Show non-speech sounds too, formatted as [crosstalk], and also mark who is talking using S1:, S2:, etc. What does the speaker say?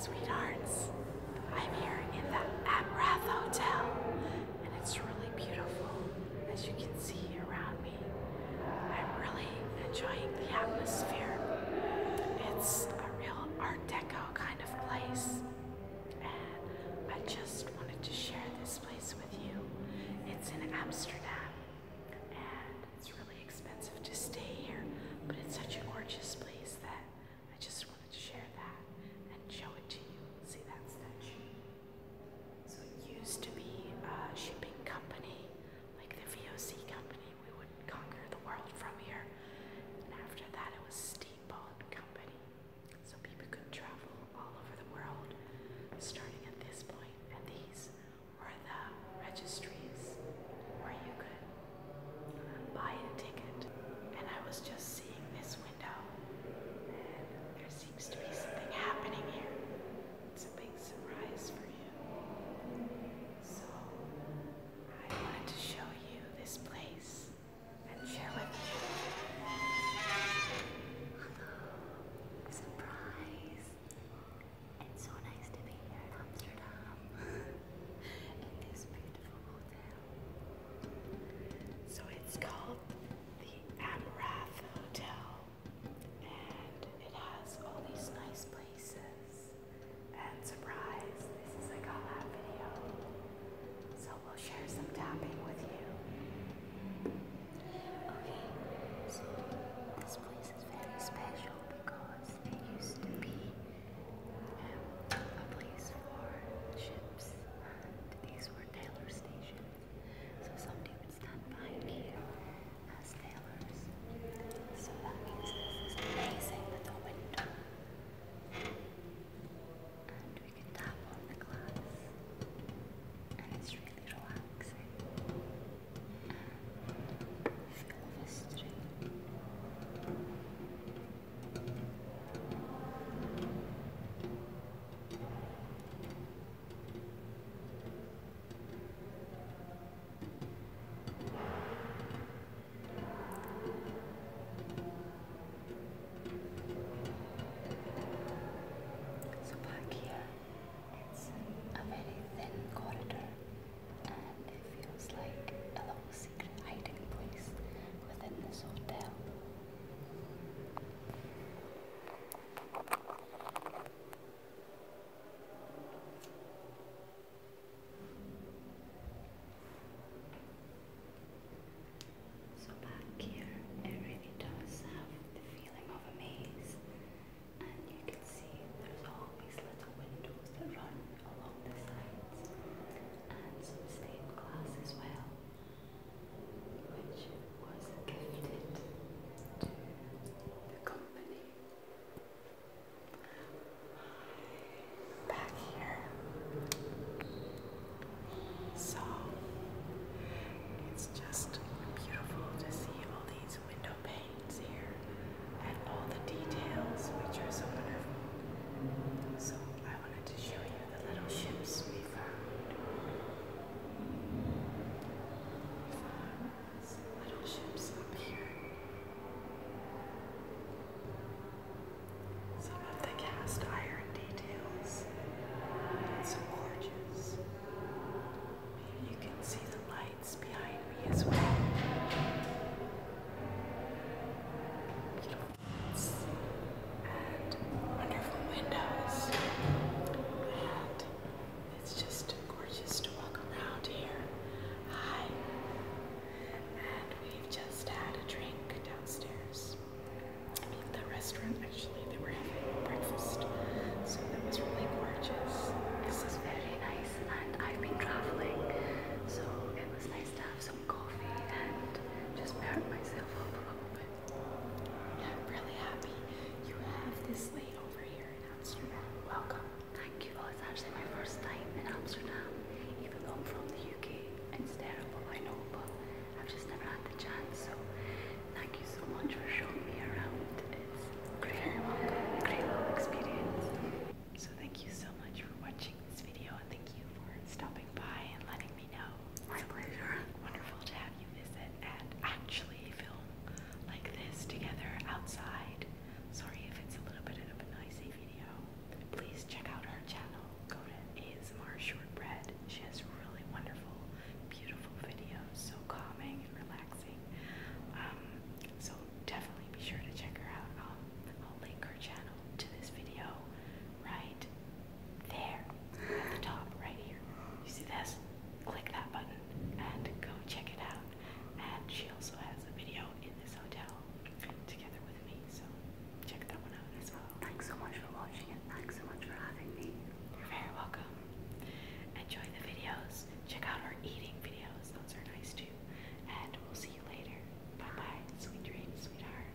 S1: sweethearts. I'm here in the Amrath Hotel, and it's really beautiful, as you can see around me. I'm really enjoying the atmosphere. It's a real Art Deco kind of place and I just wanted to share this place with you. It's in Amsterdam, and it's really expensive to stay here, but it's such a gorgeous place that I just wanted to share that and show it to you. See that statue? So it used to be a shipping company, like the VOC company. We would conquer the world from here, and after that, it was steam company. So people could travel all over the world starting at this point, and these were the registries where you could buy a ticket. And I was just seeing this window, and there seems to be something happening here. It's a big surprise for you. So I wanted to show you this place and share with you. surprise! It's so nice to be here in Amsterdam [laughs] in this beautiful hotel. So it's called the Amrath Hotel, and it has all these nice places. And surprise, this is a call out video. So we'll share some tapping with you. Okay, so this place is very special because it used to be um, a place for ships. And these were tailor stations. So some somebody it's done by me uh, as tailors. So that means this is amazing little window. And we can tap on the glass. And it's really relaxing. And full of history. Thank you. So back here, it's a very thin corridor and it feels like a little secret hiding place within this hotel. So back here, it really does have the feeling of a maze, and you can see there's always little windows that run along the sides, and some stained glass as well which was gifted to the company. Back here. So it's just beautiful to see all these window panes here and all the details, which are so wonderful. So I wanted to show you the little ships we found. some little ships up here. Some of the cast iron details. It's gorgeous. Maybe you can see the lights behind me as well wonderful windows. And it's just gorgeous to walk around here. Hi. And we've just had a drink downstairs. I mean, the restaurant actually, they were having breakfast. So that was really gorgeous. This is very nice, and I've been traveling, so it was nice to have some coffee and just married myself up a little bit. I'm really happy you have this late over here in Amsterdam. Welcome. Thank you. it's actually my first time in Amsterdam, even though I'm from the UK. It's terrible, I know, but I've just never had the chance. So thank you so much for showing me around. It's a great, great experience. So thank you so much for watching this video and thank you for stopping by and letting me know. My pleasure. Wonderful to have you visit and actually film like this together outside. Sorry if it's a little bit of a noisy video. Please check out her channel. Go to ASMR Shortbread. She has really wonderful, beautiful videos, so calming and relaxing. Um, so definitely be sure to check her out. I'll, link her channel to this video right there at the top, right here. You see this? Click that button and go check it out. And she also has a video in this hotel together with me, so check that one out as well. Thanks so much for watching and thanks so much for having me. You're very welcome. Enjoy the videos. Check out our eating videos, those are nice too. And we'll see you later. Bye bye. Sweet dreams, sweetheart.